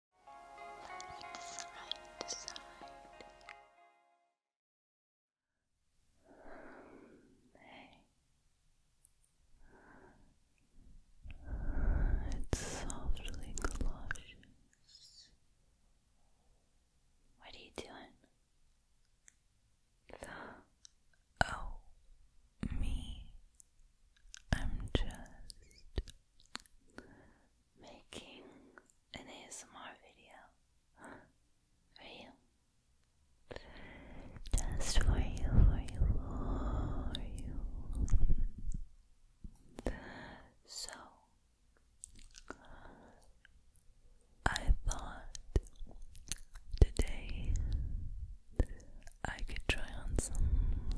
It's softly cautious. What are you doing? Oh, me. I'm just making an ASMR video for you. Just for you, for you, for you. So, I thought today I could try on some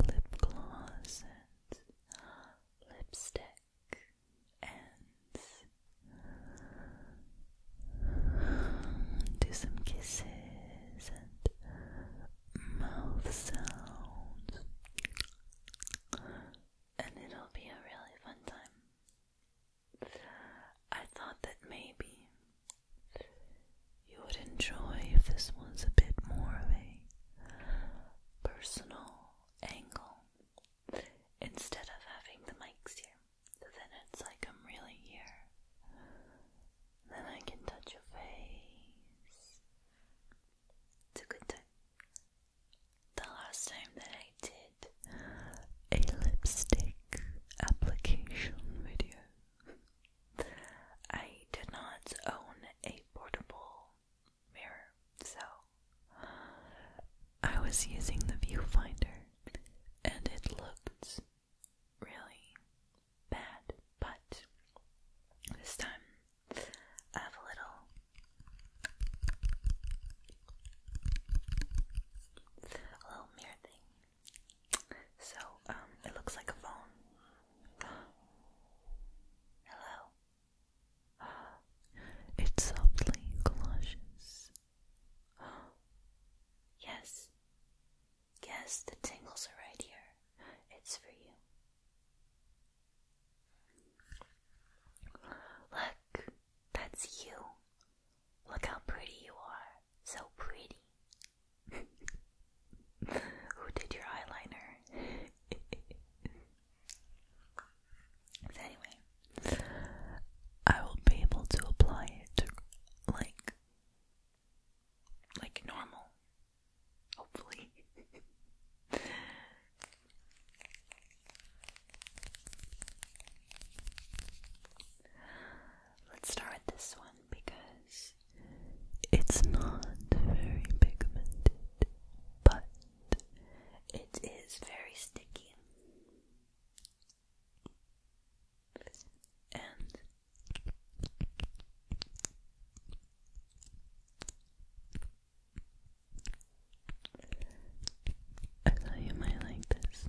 lip gloss lipstick and do some kisses and mouth sounds, and it'll be a really fun time. I thought that maybe you would enjoy if this was a bit more of a personal angle instead of having the mics here. then it's like I'm really here. Then I can touch your face. It's a The last time that I did a lipstick application video, I did not own a portable mirror. So I was using the viewfinder and it looked really bad, but this time I have a little a little mirror thing. So, um, it looks like a phone. Hello. It softly clashes. Yes. Yes, the tingles are right here. It's for you. Look, that's you. Look how pretty you are. So pretty. Who did your eyeliner? anyway, I will be able to apply it like like normal. Hopefully. Let's start with this one because it's not very pigmented but it is very sticky. And I thought you might like this.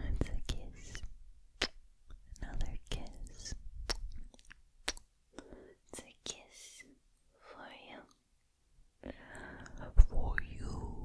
It's a kiss. Another kiss. It's a kiss for you. For you.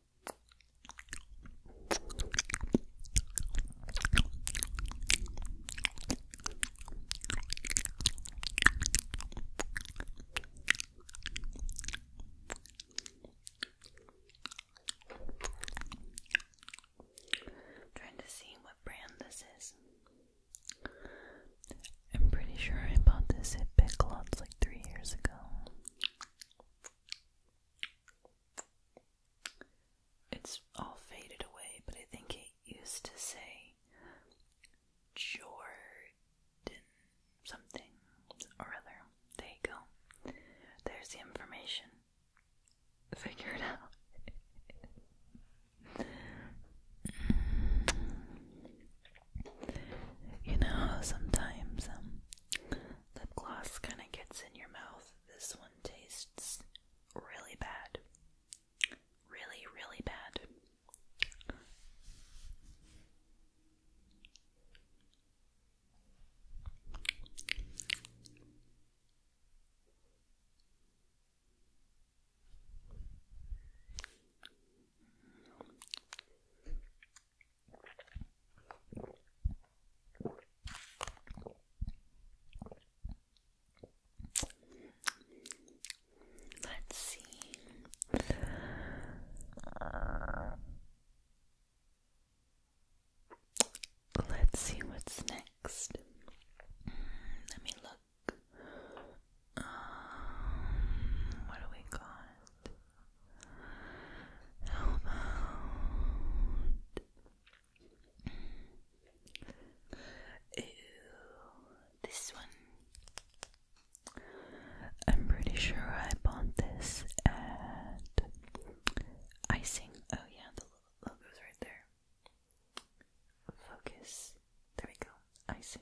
Trying to see what brand this is. I'm pretty sure I bought this at Big Lots like three years ago. It's all faded away, but I think it used to say Jordan something or other. There you go. There's the information. Figure it out. you know, sometimes um, lip gloss kind of gets in your mouth. This one tastes really bad. Really, really bad. Let's see. Uh, let's see what's next. Mm, let me look. Um, what do we got? How about this one? I'm pretty sure I bought this at Icing. Oh yeah, the logo's right there. Focus. There we go. Icing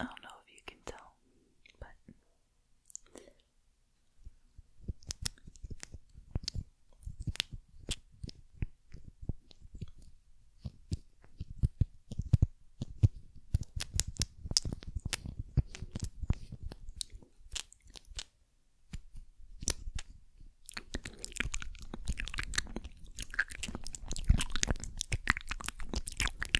I don't know if you can tell, but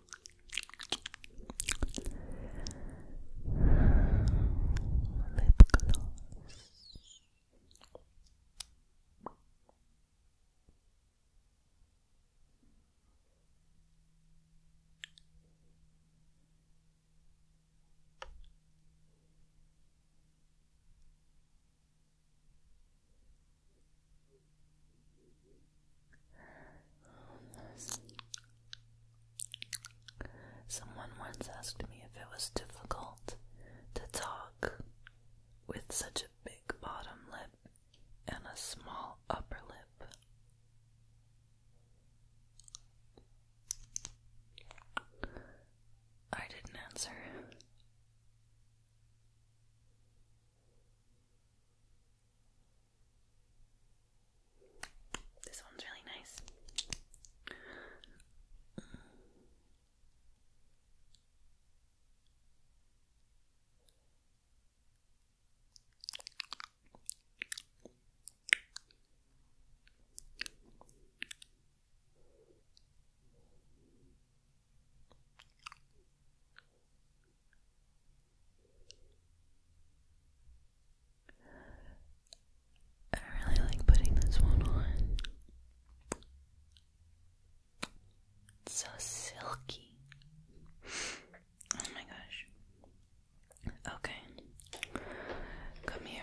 lip gloss. Someone once asked me if it was difficult to talk with such a big bottom lip and a small upper lip. I didn't answer. This one's really nice. I really like putting this one on. so silky. Oh my gosh. Okay. Come here.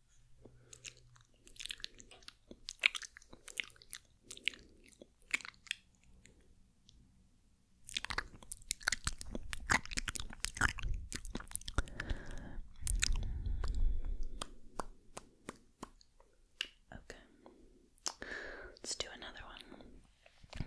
Okay. Let's do another one.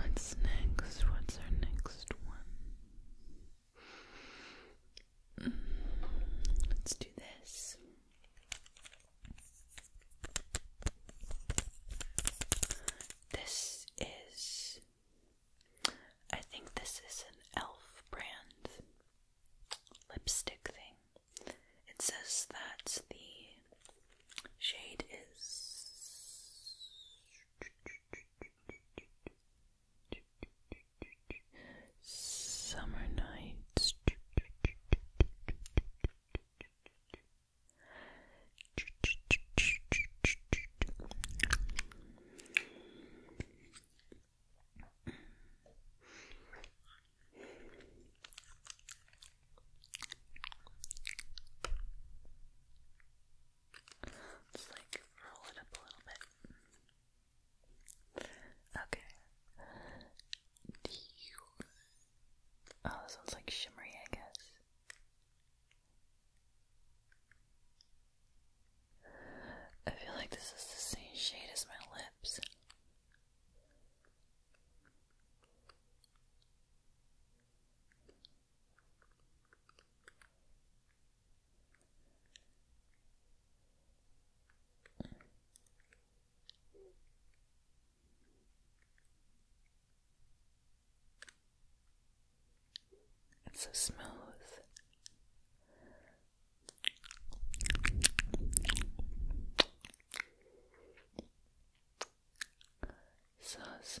What's next? What's our next one? Mm, let's do this. This is, I think this is an e.l.f. brand lipstick thing. It says that the shade is Summer nights. Just like roll it up a little bit. Okay. Oh, this one's like shimmery, I guess. I feel like this is the same shade as my lips. It's so smooth so smooth.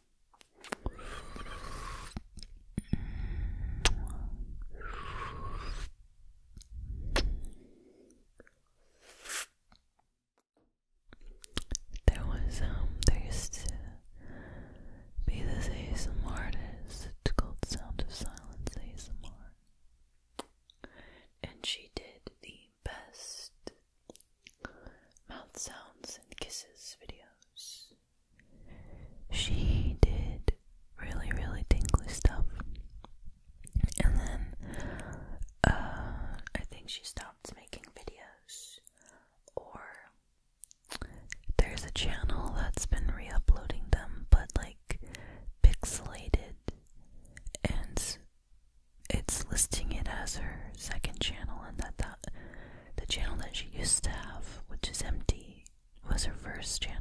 There was um there used to be this ASMR artist called Sound of Silence ASMR. And she did the best mouth sounds and kisses videos she did really, really tingly stuff. And then uh, I think she stopped making videos. Or there's a channel that's been re uploading them, but like pixelated. And it's listing it as her second channel, and that, that the channel that she used to have, which is empty, was her first channel.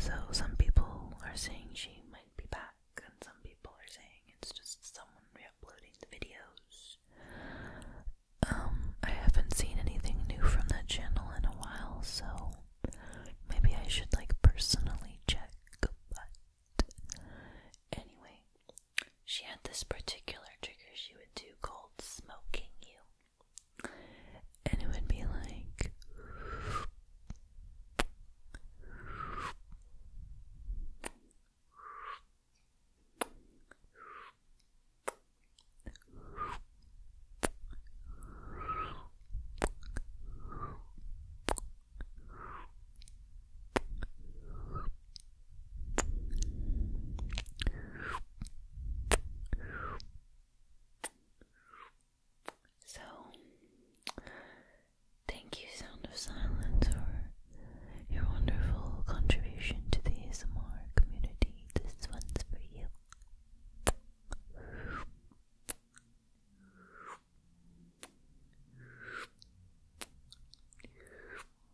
So some people are saying she might be back, and some people are saying it's just someone re-uploading the videos. Um, I haven't seen anything new from that channel in a while, so maybe I should like personally check. But anyway, she had this particular trigger she would do called smoking you and it would be like so, thank you, Sound of Silence, for your wonderful contribution to the ASMR community. This one's for you.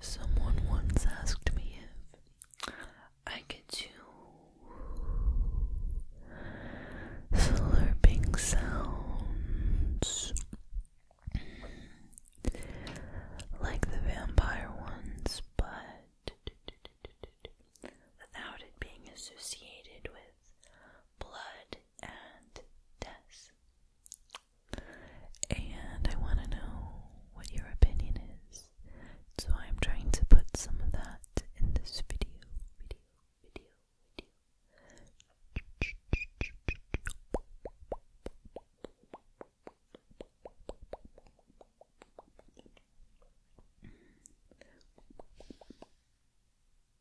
Someone once asked me if I could do slurping sounds like the vampire ones, but without it being associated with blood and death and I want to know what your opinion is. So I'm trying to put some of that in this video.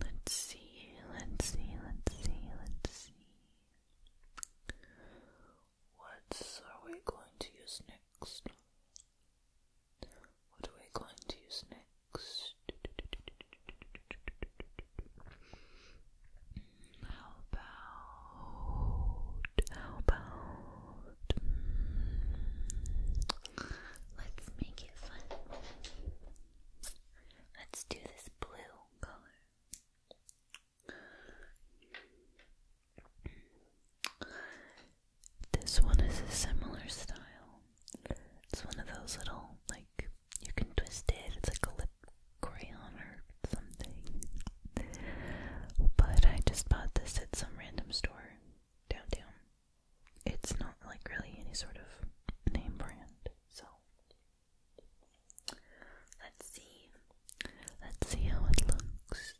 Let's see, let's see, let's see, let's see. What are we going to use next? What are we going to use next? How about, how about, hmm, let's make it fun. Let's do this blue color. This one is a similar style. It's one of those little, like, you can twist it, it's like a lip crayon or something. But I just bought this at some random store downtown it's not like really any sort of name brand. So let's see. Let's see how it looks.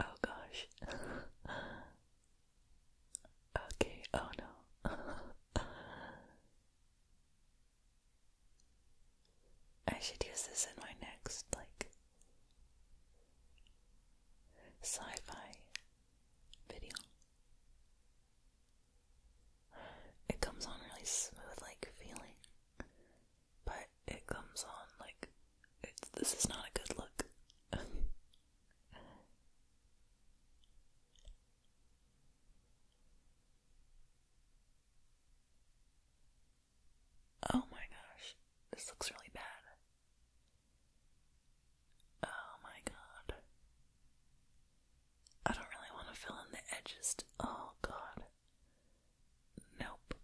Oh gosh. okay, oh no. I should use this in my next like sci fi video. It comes on really smooth, like feeling, but it comes on like this is not a good look. oh my gosh, this looks really bad. Oh my god. I don't really want to fill in the edges. oh god. Nope.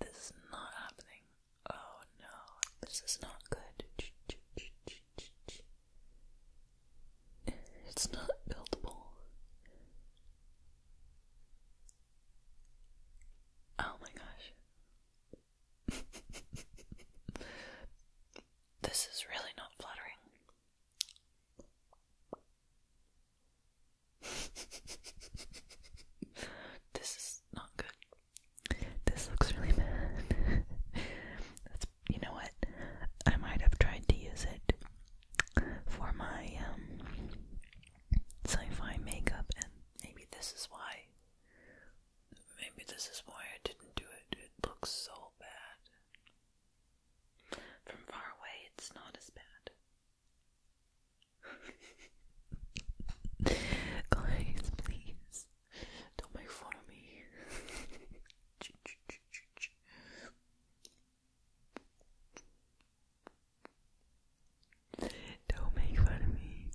This is not happening. Oh no. This is not good. It's not buildable. Oh my gosh. this is really not flattering. this is not good. This looks really bad. That's, you know what? I might have tried to use it for my um, sci fi makeup, and maybe this is why Maybe this is why I didn't do it. It looks so bad. From far away, it's not as bad. Guys, please don't make fun of me. Don't make fun of me.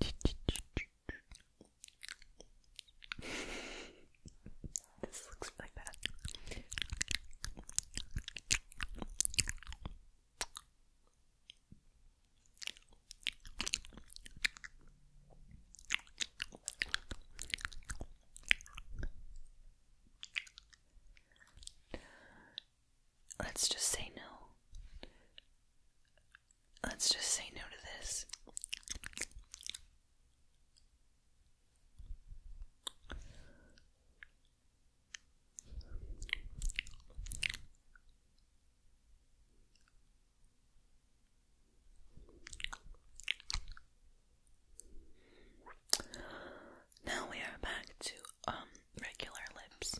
this looks like that. Let's just say no. Let's just say no to this. Now we are back to um regular lips.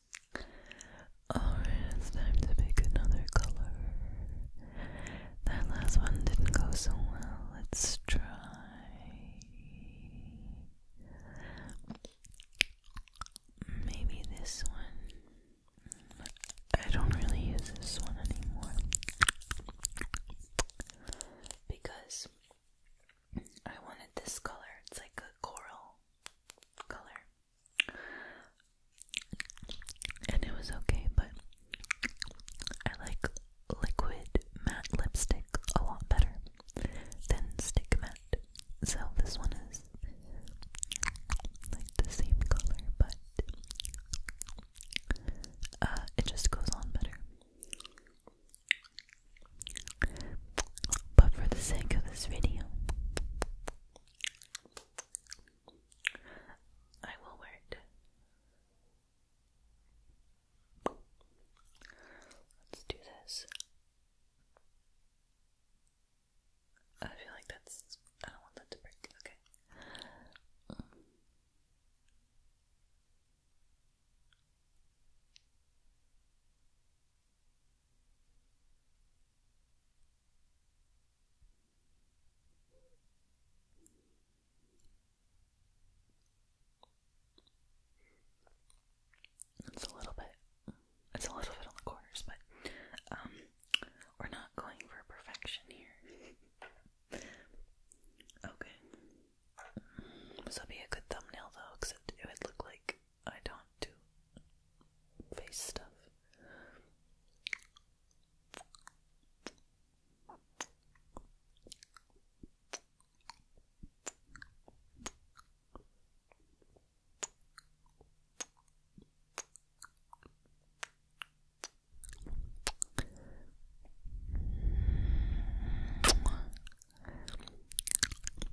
Alright, oh, it's time to pick another color. That last one didn't go so well. Let's try. Maybe this one. I don't really use this one anymore. Because I wanted this color. It's like a coral color and it was okay, but I like liquid matte lipstick a lot better than stick matte. So this one is like the same color, but uh, it just goes on better. But for the sake of this video, I will wear it. Let's do this. I feel like that's. I don't want that to break. Okay. It's a little bit, it's a little bit on the corners, but um, we're not going for perfection here. okay, this would be a good thumbnail though, except it would look like I don't do face stuff.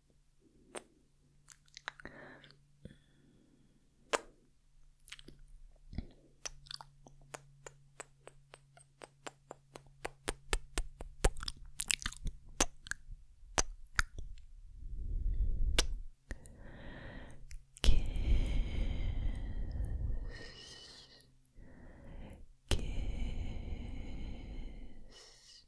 Kiss, kiss,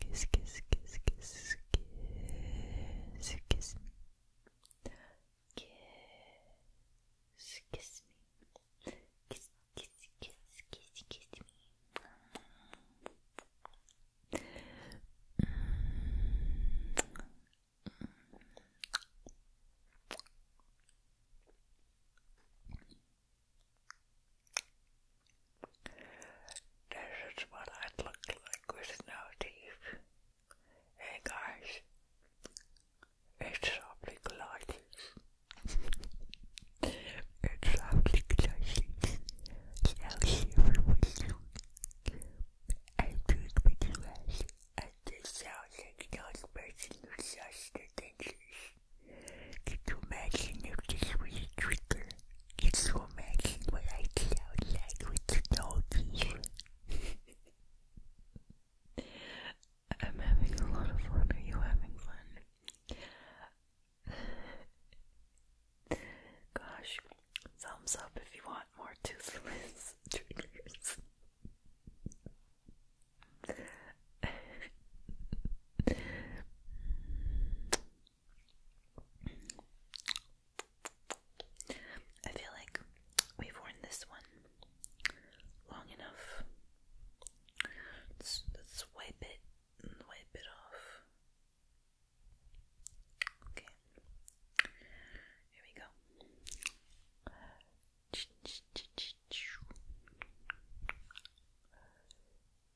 kiss, kiss, kiss, kiss, kiss, kiss me, kiss, kiss me, kiss, kiss, kiss, kiss, kiss me. This is what I'd look like with no teeth. Hey guys, it's softly gliding. it's softly gliding. Now here with you. I drink with you guys. And this sounds like not person such the Could you imagine if this was a it's so imagine what I sound like with the doggies? I'm having a lot of fun. Are you having fun? Gosh, thumbs up if you want more toothless triggers. I feel like we've worn this one long enough. Let's, wipe it wipe it off. Okay. Here we go.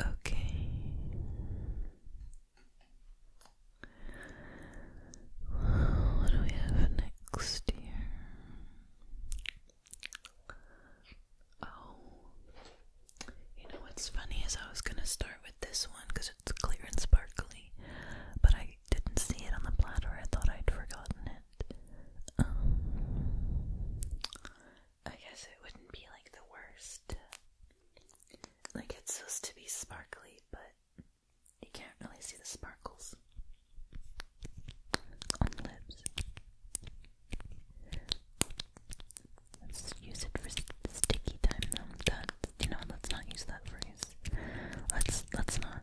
Okay. what do we have next here? Oh. You know what's funny is I was going to start with this one because it's clear and sparkly, but I didn't see it on the platter. I thought I'd forgotten it. Um, I guess it wouldn't be like the worst like it's supposed to be sparkly, but you can't really see the sparkles Let's use it for sticky time though. That you know, let's not use that phrase. Let's let's not.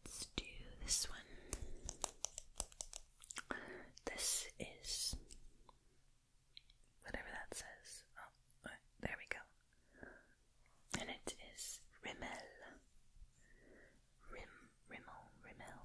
Let's do this one. This is whatever that says. Oh, there we go and it is Rimmel. Rim, Rimmel, Rimmel.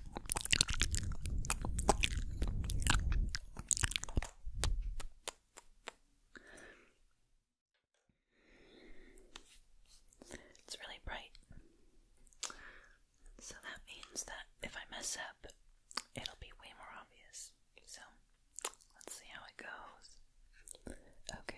It's really bright. So that means that if I mess up, it'll be way more obvious. So let's see how it goes. Okay.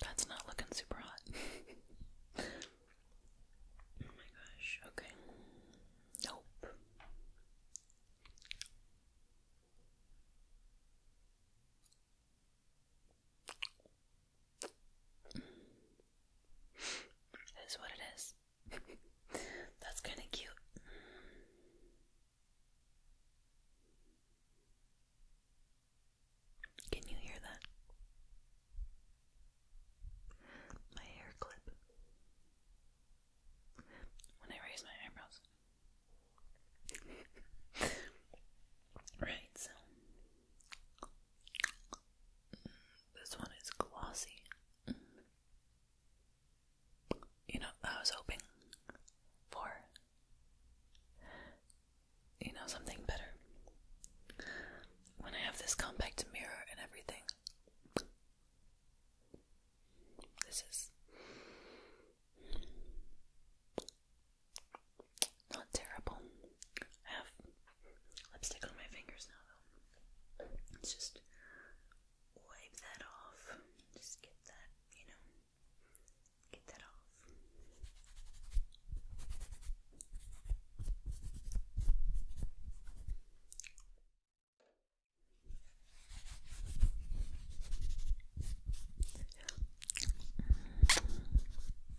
That's not looking super hot. oh my gosh, okay. Nope. It is what it is. That's kind of cute. Can you hear that? My hair clip. When I raise my eyebrows. right, so this one is glossy. You know, I was hoping for, you know, something better. When I have this compact mirror and everything, this is. Not terrible. I have lipstick on my fingers now, though. Let's just wipe that off. Just get that, you know, get that off.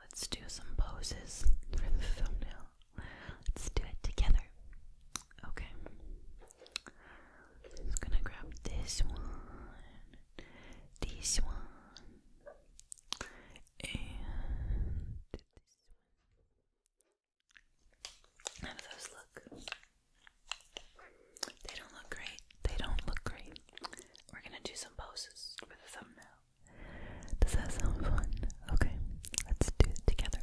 Let's do some poses for the thumbnail. Let's do it together. Okay. i gonna grab this one, this one, and this those look? They don't look great. They don't look great. We're gonna do some poses for the thumbnail. Does that sound fun? Okay, let's do it together.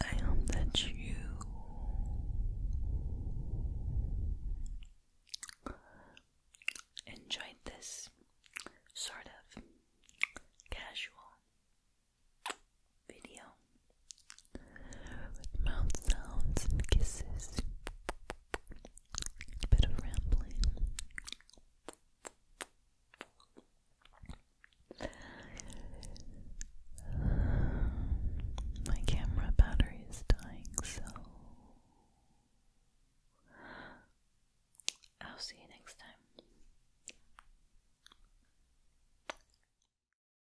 I hope that you enjoyed this sort of casual video with mouth sounds and kisses, a bit of rambling. My camera battery is dying, so I'll see you next time.